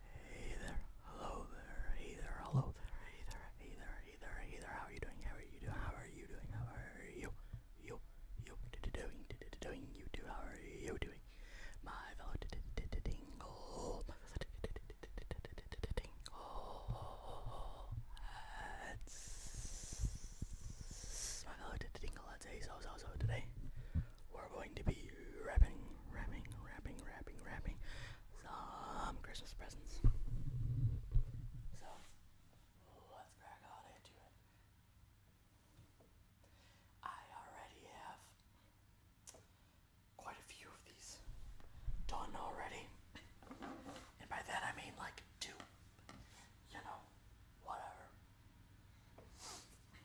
Hey there, hello there, hey there, hello there, hey there, hey there, hey there, hey there, how are you doing, how are you doing, how are you doing, how are you, you, you, doing, doing, you too, how are you doing, my fellow tingle, my fellow tingle, that's, my fellow tingle, let's say so, so, so today, we're going to be wrapping, wrapping, wrapping, wrapping, wrapping some Christmas presents. So, let's crack on into it. I already have quite a few of these done already. And by that I mean like two. You know, whatever.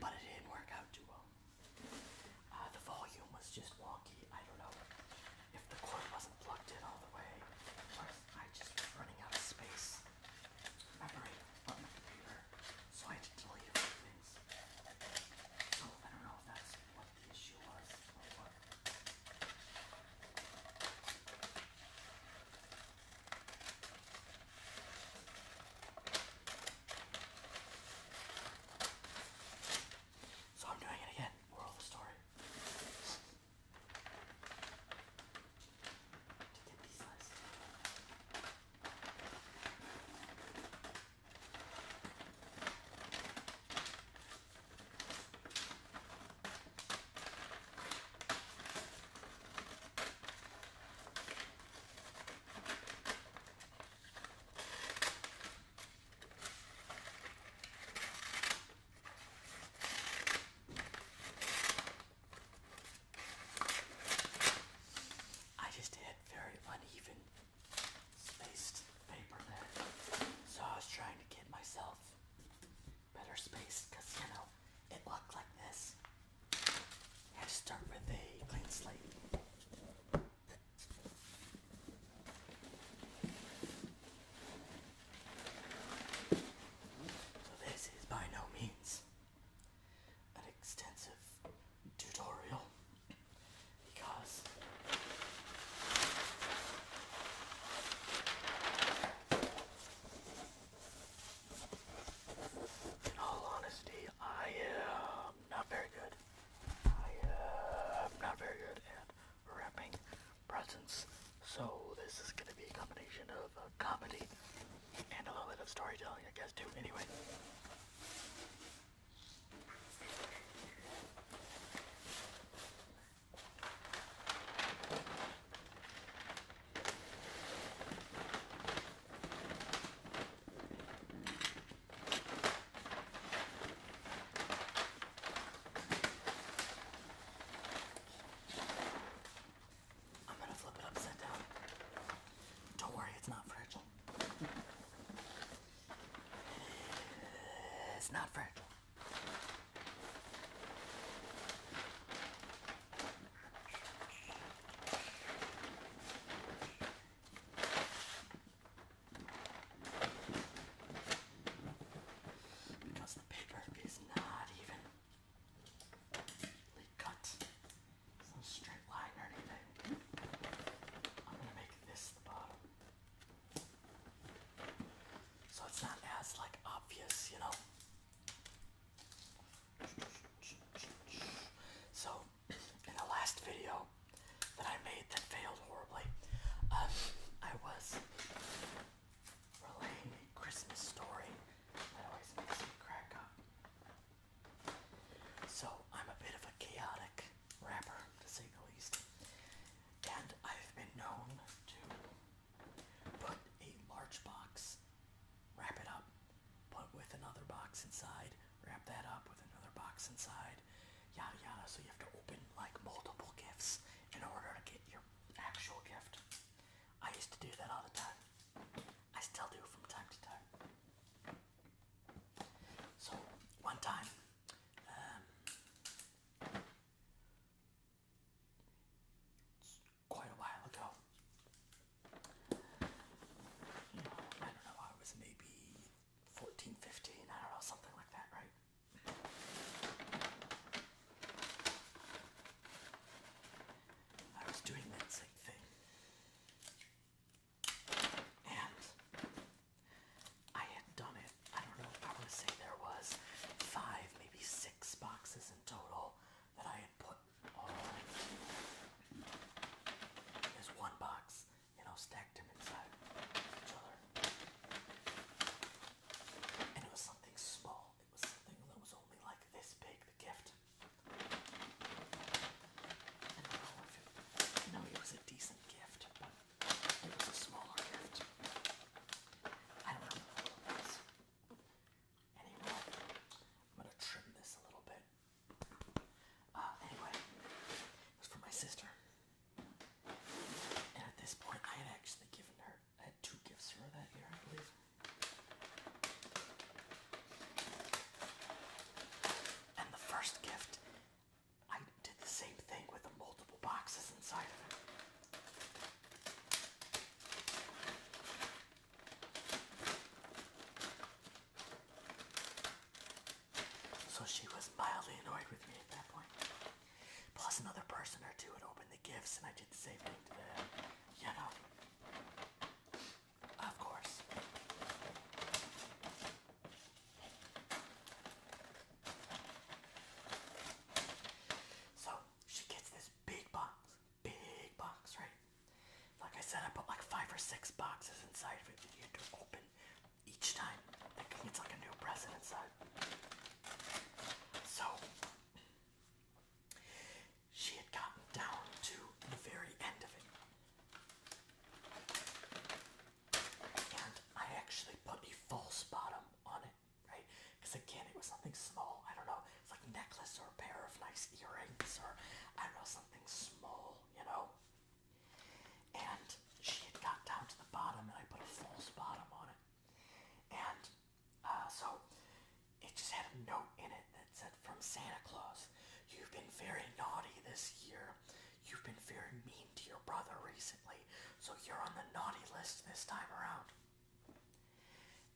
But it didn't work out too well. Uh, the volume was just wonky. I don't know if the cord wasn't plugged in all the way, or I just running out of space memory on my computer, so I had to delete things. So I don't know if that's what the issue was so I'm doing it again. Moral of the story. To get these last. I just had very uneven spaced paper there, so I was trying to get myself better space because you know it looked like this. had to start with a clean slate. this is by no means an extensive tutorial because in all honesty, I am not very good. I am not very good at wrapping presents. So this is going to be a combination of uh, comedy and a little bit of storytelling, I guess, too. Anyway. I'm gonna flip it upside down. Don't worry, it's not fragile. It's not fragile. Because the paper is not even cut. no straight line or anything. I'm gonna make this the bottom. So it's not as like obvious, you know. So, in the last video that I made that failed horribly, um, I was relaying a Christmas story that always makes me crack up. So, I'm a bit of a chaotic rapper, to say the least, and I've been known to Put a large box, wrap it up, put with another box inside, wrap that up with another box inside, yada yada. So you have to open like multiple gifts in order to get your actual gift. I used to do that all the time. I still do from time to time. So one time, um, quite a while ago. I don't know, I was maybe 14, I don't know, something like that, right? I was doing that same thing. And I had done it, I don't know, I want to say there was five, maybe six boxes in total that I had put all as one box, you know, stacked them inside each other. And it was something small. It was something that was only like this big, the gift. And I know it, was a decent gift, but it was a smaller gift. I don't remember anymore. I'm gonna trim this a little bit. Uh, anyway, it was for my sister. And at this point, I had actually given her, I had two gifts for her that year, I believe. And the first gift, I did the same thing with multiple boxes inside of it. So she was mildly annoyed with me at that point. Plus another person or two had opened the gifts and I did the same thing to them. You know. Of course. So she gets this big box big box, right? Like I said, I put like five or six boxes inside of it you had to open each time. it's like a new present inside. So she had gotten down to the very end of it. And I actually put a false bottom on it, right? Because again, it was something small. I don't know like necklace or a pair of nice earrings or I don't know something small, you know. And she had got down to the bottom, and I put a false bottom on it, and uh, so it just had a note in it that said, "From Santa Claus, you've been very naughty this year. You've been very mean to your brother recently, so you're on the naughty list this time around."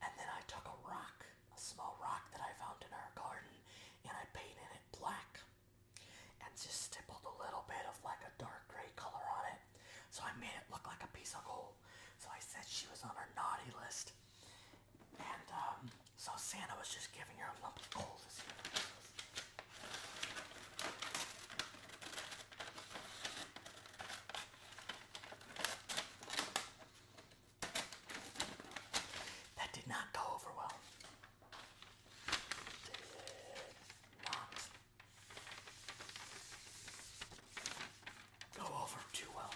And then I took a rock, a small rock that I found in our garden, and I painted it black and just stippled a little bit of like a dark gray color on it. So I made it look like a piece of coal. So I said she was on our naughty list. And um, so Santa was just giving her a lump of coal this year. That did not go over well. Did not go over too well.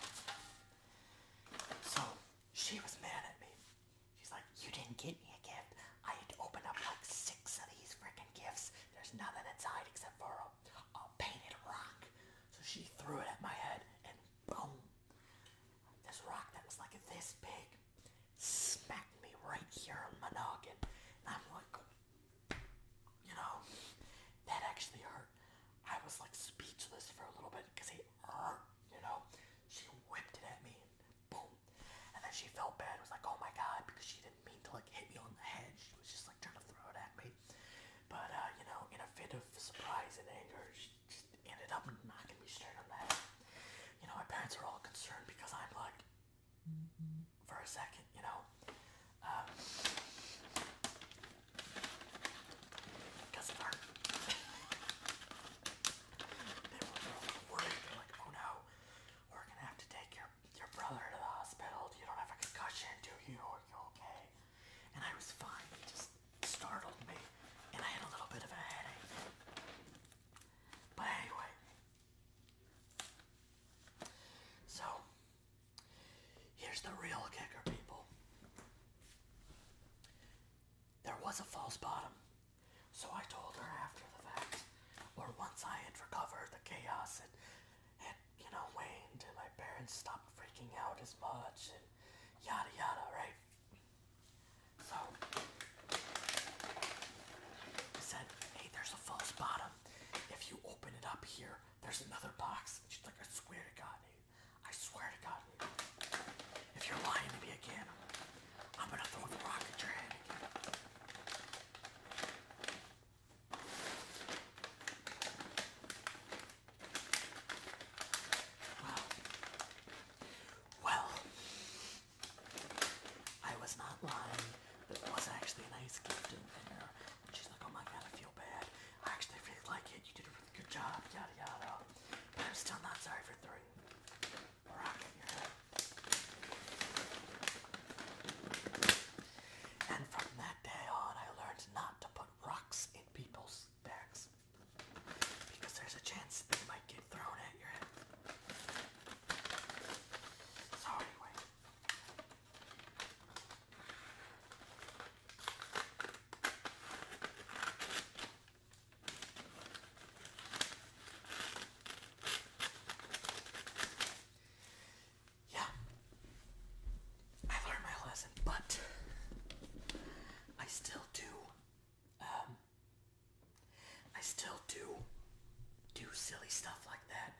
So she was mad at me. She's like, You didn't get me a gift. I had to open up like six of these freaking gifts. There's nothing inside except for a painted rock. So she threw it at my head and boom. This rock that was like this big smacked me right here on my noggin. And I'm like, you know, that actually hurt. I was like speechless for a little bit because it you know. She whipped it at me and boom. And then she felt bad. It was like, oh my God, because she didn't mean to like hit me on the head. She was just like trying to throw it at me. But, uh, you know, in a fit of surprise and anger, she just ended up knocking me straight on the head. You know, my parents are all concerned because I'm like, for a second, you know. Um, because of her. they were worried. They're like, oh no, we're going to have to take your, your brother to the hospital. You don't have a concussion, do you? Are you okay? And I was fine. just startled me, and I had a little bit of a headache. But anyway, so here's the real kicker, people. There was a false bottom, so I told her after the fact, or once I had recovered the chaos and had, you know, waned, and my parents stopped freaking out as much, yada yada, right? So I said, hey, there's a false bottom. If you open it up here, there's another box. she's like, I swear to God, dude. I swear to God, If you're lying to me again, I'm gonna throw the rock at well, well, I was not lying. There was actually a nice gift in there. And she's like, oh my god, I feel bad. I actually really like it. You did a really good job, yada yada. I'm still not sorry for throwing a rock at your head. And from that day on, I learned not to put rocks in people's those because there's a chance they might get thrown at your head. So anyway. Yeah. I learned my lesson, but I still do. Um, I still do do silly stuff like that.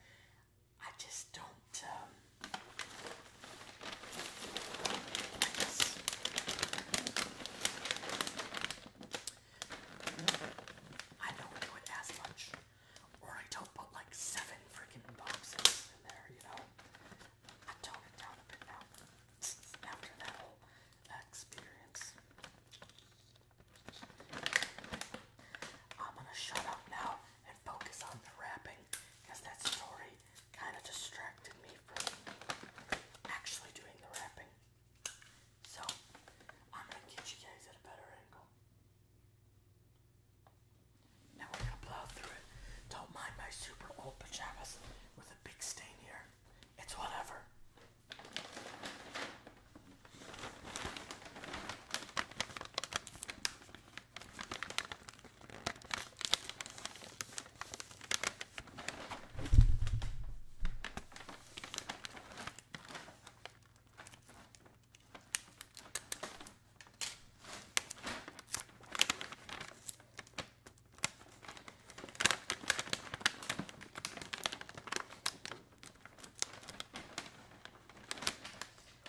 I just don't. Um, I don't do it as much, or I don't put like seven freaking boxes in there, you know. I after that whole experience. I'm gonna shut up now and focus on the wrapping because that story kind of distracted me from actually doing the wrapping. So, I'm gonna get you guys at a better angle. Now we're gonna plow through it. Don't mind my super old pajamas with a big stain here. It's whatever.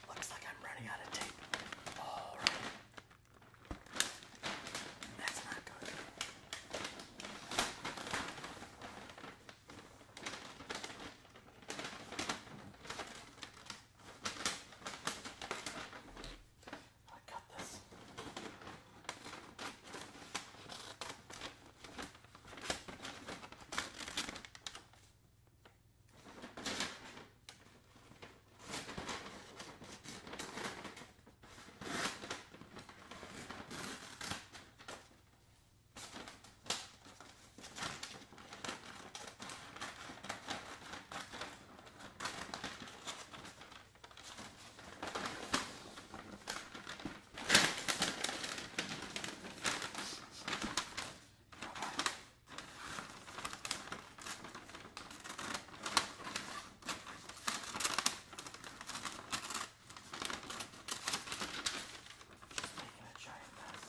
Looks like I'm running out of tape. All right. That's not good. I got this. Just making a giant mess.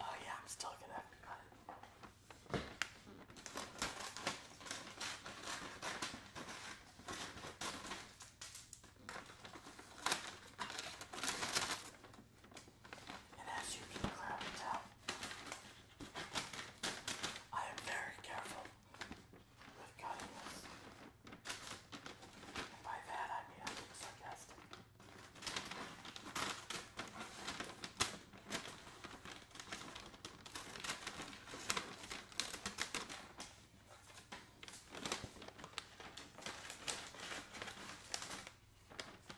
Oh yeah, I'm still gonna have to cut it. And as you can clearly tell, I am very careful with cutting this. And by that I mean I'm being sarcastic.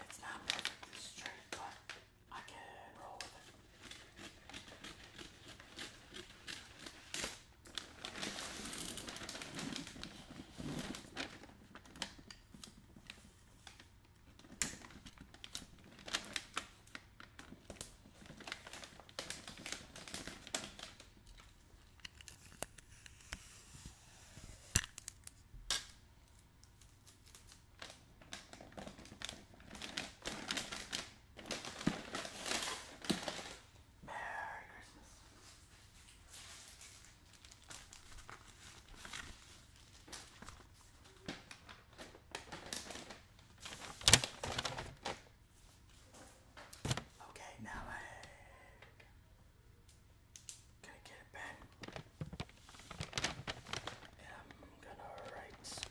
It's not perfect, this but I can roll with it. Merry Christmas. Okay, now egg gonna get a I'm gonna write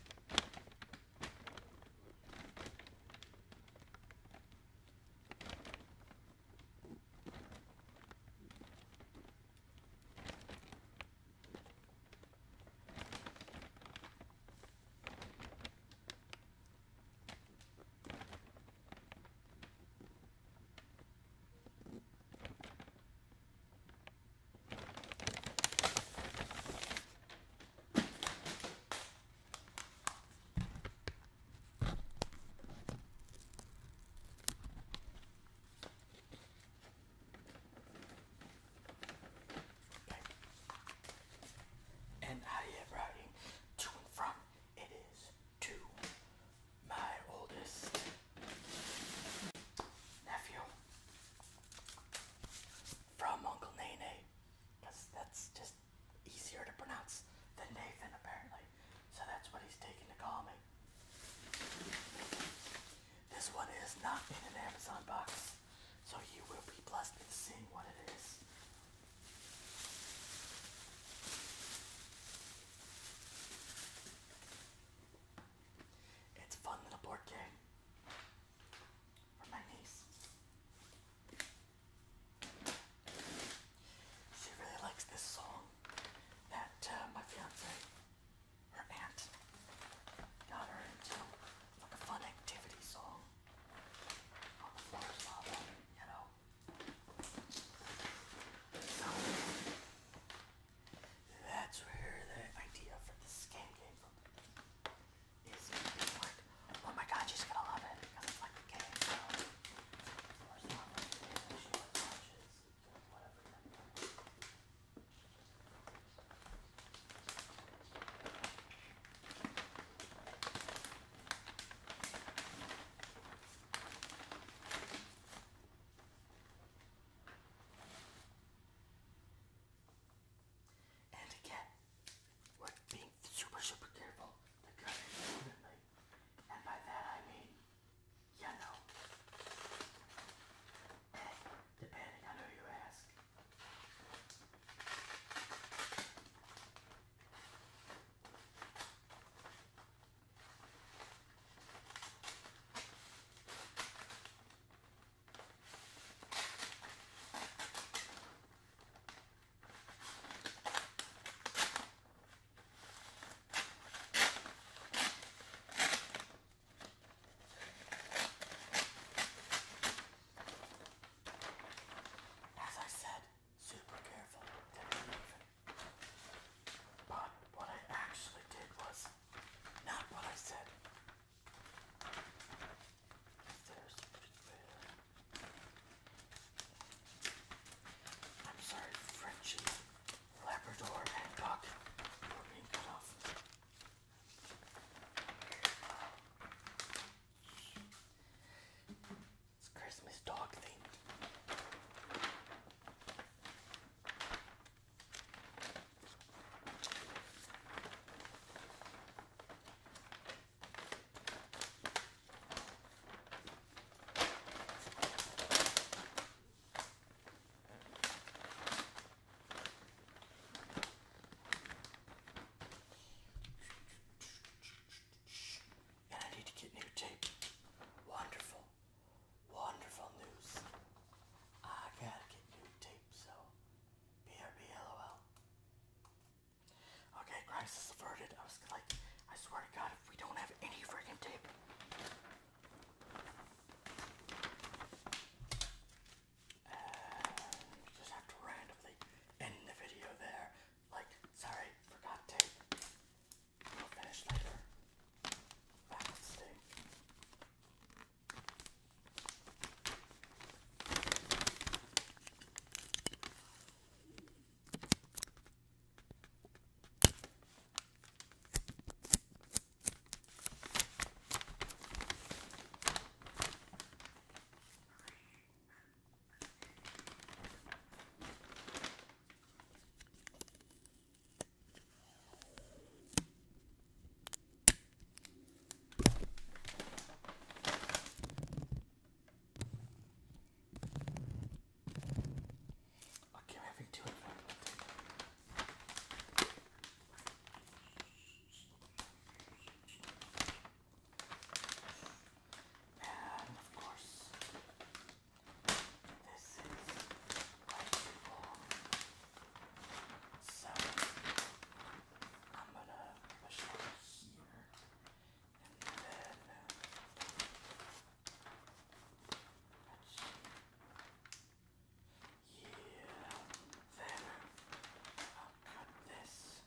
and I am riding to and from it is to my oldest nephew from Uncle Nene, because that's just easier to pronounce than Nathan, apparently. So that's what he's taking to call me. This one is not in an Amazon box, so you will be blessed with seeing what it is. It's a fun little board game for my niece. She really likes this song that uh, my fiance, her aunt, got her into like a fun activity song on the floor you know. So, that's where the idea for this game came from. Is it's like, oh my god, she's gonna love it because it's like the game. So, or something. She watches whatever. So and again, we're being super, super careful to cut it evenly. And by that I mean, you know, and depending on who you ask. As I said, super careful. But what I actually did was not what I said. There's I'm sorry, Frenchie, Labrador, and Duck were being cut off. It's Christmas dog thing, And I need to get new tape. Wonderful. Wonderful news. I gotta get new tape, so BRB LOL. Okay, crisis averted. I was like, I swear to God, if we don't have any freaking tape. just have to randomly end the video there. Like, sorry, forgot tape. I'll finish later. That's the I keep having two in front of it. And of course, this is wonderful. So I'm gonna push it here and then let's uh, see. Yeah, then I'll cut this here.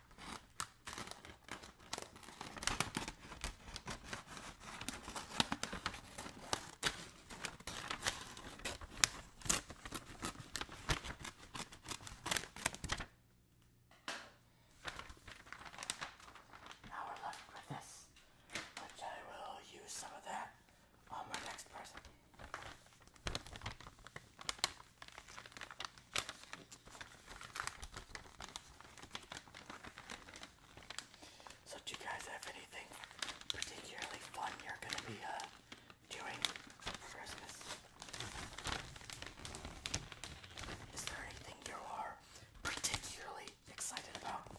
Now we're left with this, which I will use some of that on my next person. So, do you guys have anything particularly fun you're going to be uh, doing for Christmas? Is there anything you are particularly excited about?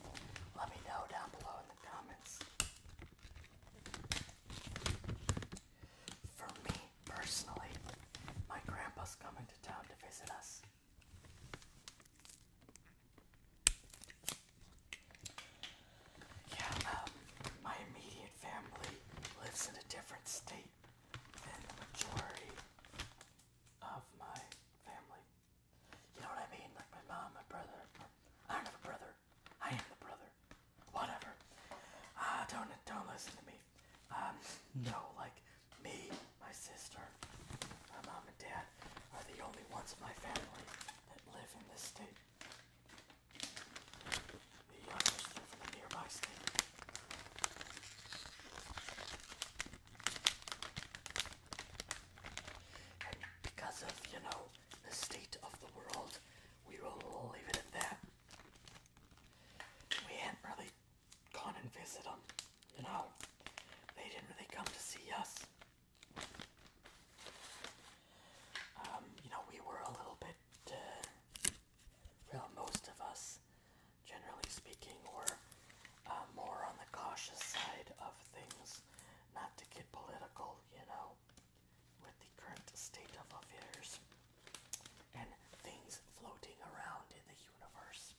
Let me know down below in the comments. For me, Personally, my grandpa's coming to town to visit us. Yeah, um, my immediate family lives in a different state than the majority of my family. You know what I mean? Like my mom, my brother. I'm not a brother. I am the brother whatever. Uh, don't don't listen to me. Um, no, like me, my sister, my mom and dad are the only ones in my family that live in this state. The others live in a nearby state. And because of, you know, the state of the world, we will leave it at that we hadn't really gone and visited them, you know. They didn't really come to see us. Um, you know, we were a little bit, uh, well, most of us, generally speaking, were uh, more on the cautious side of things, not to get political, you know with the current state of affairs and things floating around in the universe.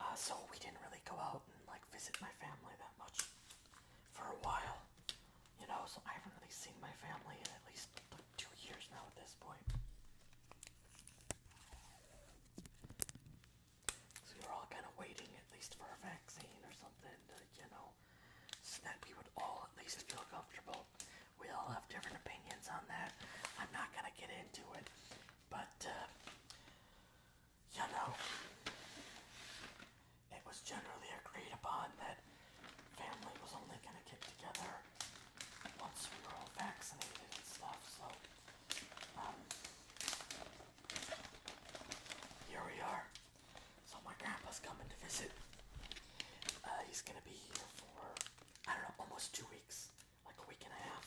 Uh, so we didn't really go out and like visit my family that much for a while, you know. So I haven't really seen my family in at least like, two years now at this point. So we were all kind of waiting at least for a vaccine or something to, you know, so that we would all at least feel comfortable. We all have different opinions on that. I'm not going to get into it, but uh, you know, it was generally agreed upon that family was only going to get together once we were all vaccinated and stuff, so um, here we are. So my grandpa's coming to visit. Uh, he's gonna be here for I don't know, almost two weeks, like a week and a half,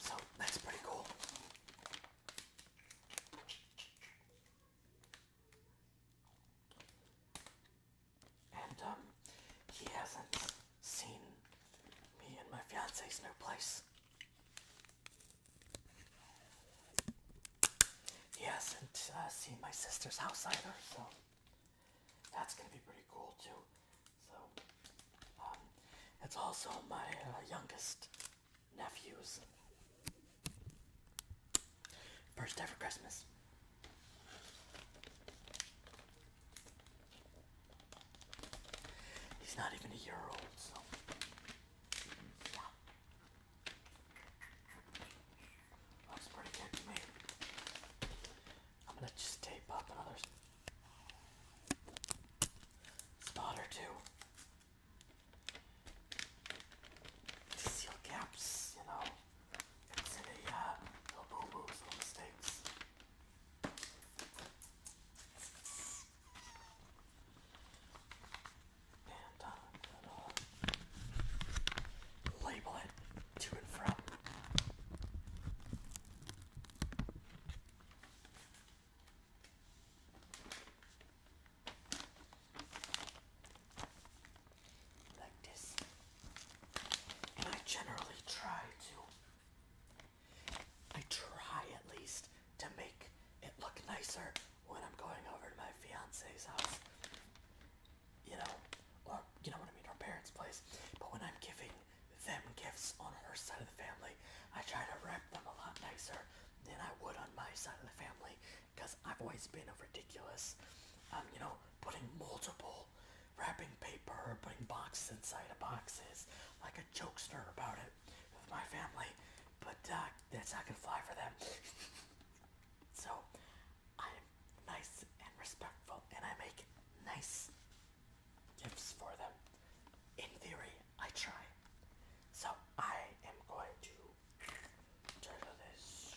So that's pretty cool and um, he hasn't seen me and my fiance's new place. He hasn't uh, seen my sister's house either, so that's gonna be pretty cool too. So, um, it's also my uh, youngest nephew's first ever Christmas. He's not even a year old, so. Looks pretty good to me. I'm gonna just tape up another spot or two seal gaps, you know. It's boo boos, uh, little mistakes. And uh, label it to and fro Like this. And I generally try to, I try at least to make it look nicer when I'm going over to my fiance's house. You know, or you know what I mean, her parents' place. But when I'm giving them gifts on her side of the family, I try to wrap them a lot nicer than I would on my side of the family because I've always been a ridiculous, um, you know, putting multiple wrapping paper or putting boxes inside of boxes like a jokester about it with my family, but uh, that's not gonna fly for them. so I'm nice and respectful and I make nice gifts for them. In theory, I try. So I am going to turn this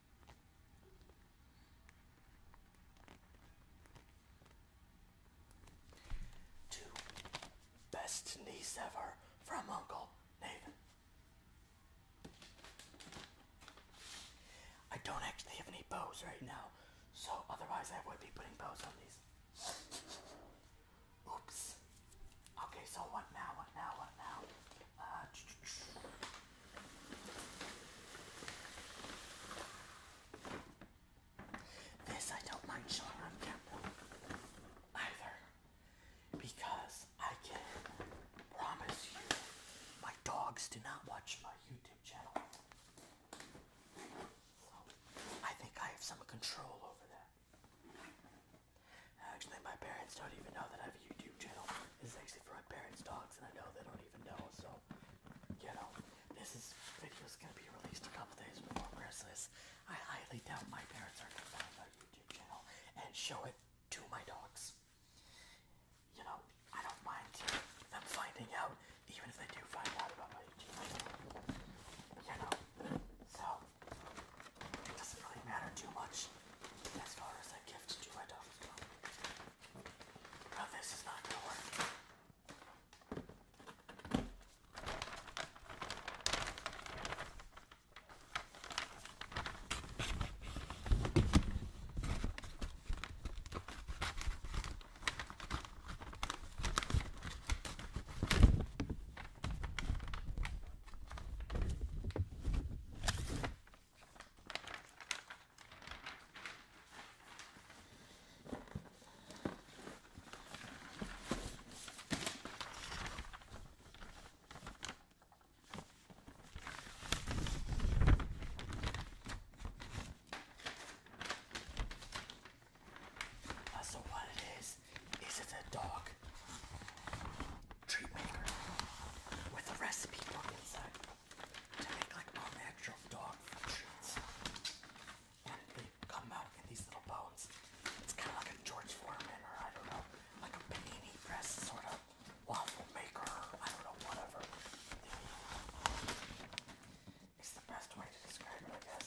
Two best niece ever from Uncle Nathan. I don't actually have any bows right now, so otherwise I would be putting bows on these. Oops. Okay, so what now? What now? What now? Uh, this I don't mind showing on camera either because I can promise you my dogs do not watch my YouTube channel. So I think I have some control over that. Actually, my parents don't even know that I have a YouTube channel. This is actually for my parents' dogs, and I know they don't even know, so, you know, this video is gonna be released a couple days before Christmas. I highly doubt my parents are gonna find my YouTube channel and show it to my dogs. You know, I don't mind them finding out, even if they do find out about my YouTube channel. You know, so, it doesn't really matter too much as far as a gift to my dogs now oh, this is not gonna work. So what it is, is it a dog treat maker with a recipe book inside to make like all natural dog food treats. And they come out in these little bones. It's kind of like a George Foreman or I don't know, like a panini press sort of waffle maker or I don't know, whatever. It's the best way to describe it, I guess.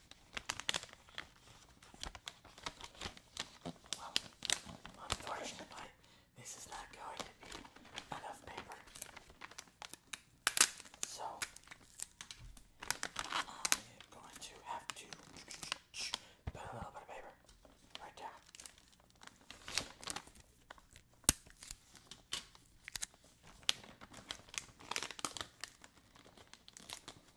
Well, unfortunately, this is not going to be enough paper. So, I'm going to have to put a little bit of paper right there.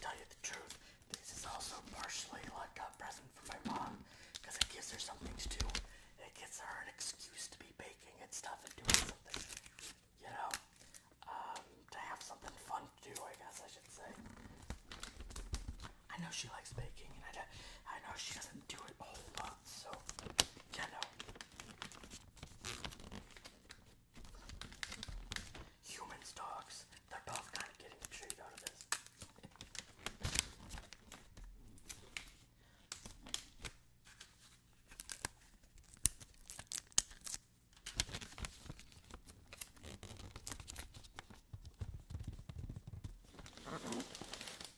tell you the truth, this is also partially like a present for my mom, because it gives her something to do. It gives her an excuse to be baking and stuff and doing something. You know? Um, to have something fun to do, I guess I should say. I know she likes baking, and I, I know she doesn't do it a whole lot, so, yeah, no. Humans, dogs, they're both kind of getting a treat out of this.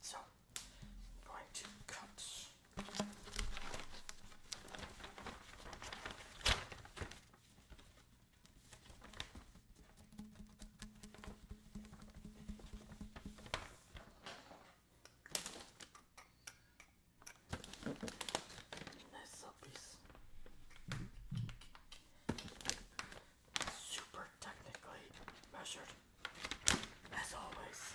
So I'm going to cut this super technically measured as always.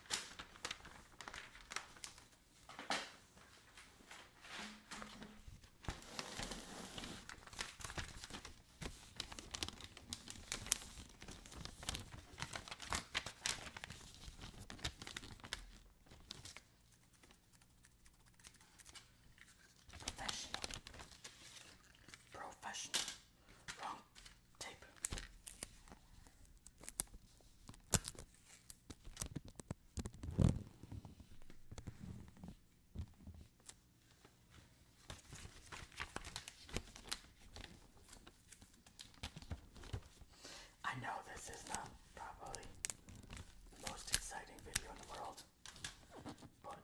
Professional. Professional. Wrong tape. I know this is not probably most exciting video in the world, but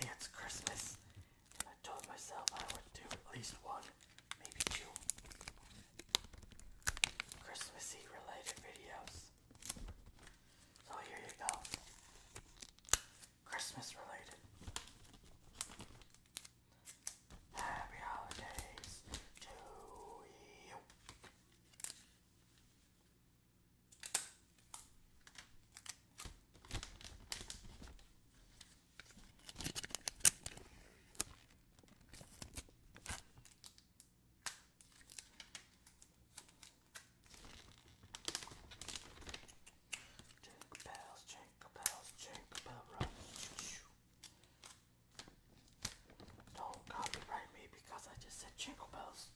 hey, it's Christmas I told myself I would do at least one, maybe two Christmassy related videos. So here you go. Christmas related. Happy holidays to you. Jingle bells, jingle bells, jingle bell rocks. Don't copyright me because I just said jingle bells.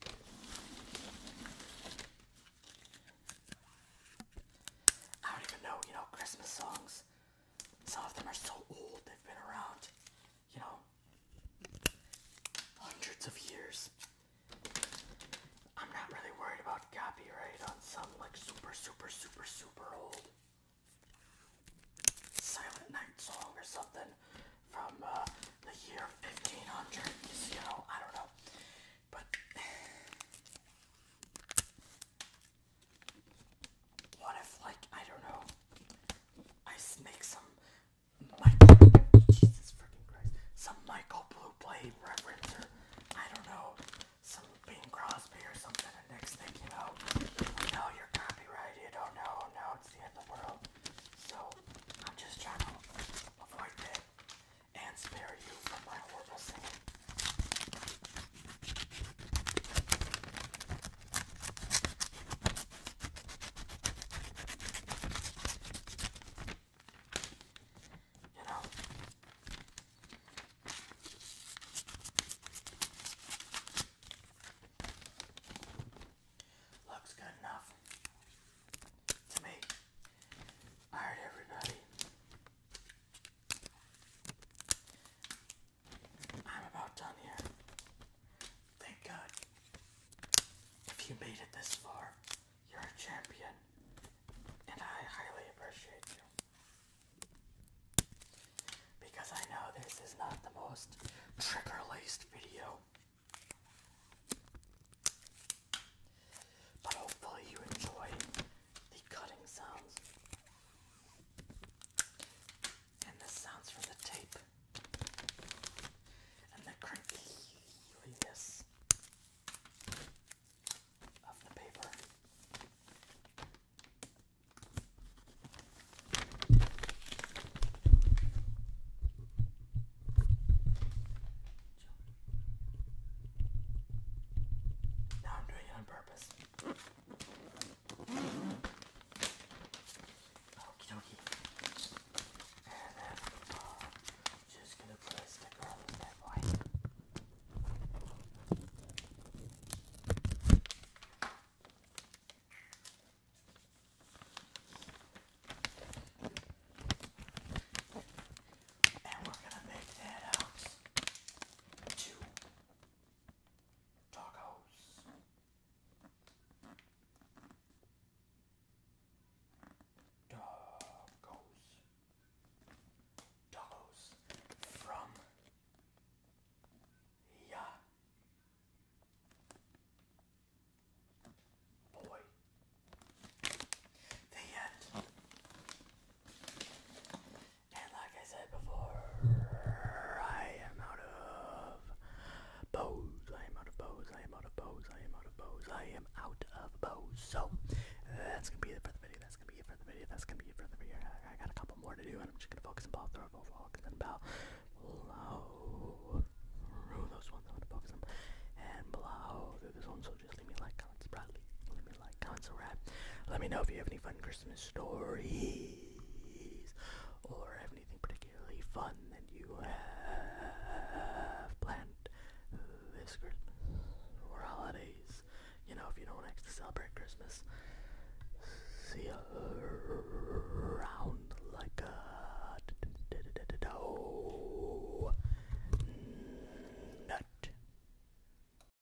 I don't even know, you know, Christmas songs. Some of them are so old, they've been around, you know, hundreds of years. I'm not really worried about copyright on some like super, super, super, super old Silent Night song or something from uh, the year 1500, you know, I don't know. But what if, like, I don't know, I make some Michael, Jesus freaking Christ, some Michael Blue Blade reference, or I don't know, some Bing Crosby or something, and next thing you know, you you're copyrighted, you oh, do now it's the end of the world. So, I'm just trying to avoid that and spare you from my horrible singing looks good enough to me. All right, everybody. I'm about done here. Thank God. If you made it this far, you're a champion, and I highly appreciate you. Because I know this is not the most trigger laced video. But hopefully, you enjoy the cutting sounds and the sounds from the tape. And the crinkliness of the paper. Now I'm doing it on purpose. Okie dokie. And then uh, just gonna put a sticker on this bad boy. And we're gonna make that out to Tacos. Tacos. Tacos from yeah. Boy. The end. And like I said before, I am out of bows. I am out of bows. I am out of bows. I am out of bows. I am out of bows. So that's gonna be it for the video. That's gonna be it for the video. That's gonna be it for the video. I got a couple more to do, and I'm just gonna focus on ball throw, ball focus on ball, blow through those ones. I'm gonna focus on and blow through this one. So just leave me like probably. Let me like, comment, Let me know if you have any fun Christmas stories or have anything particularly fun that you have planned this Christmas or holidays. You know, if you don't actually celebrate Christmas. See around like a nut.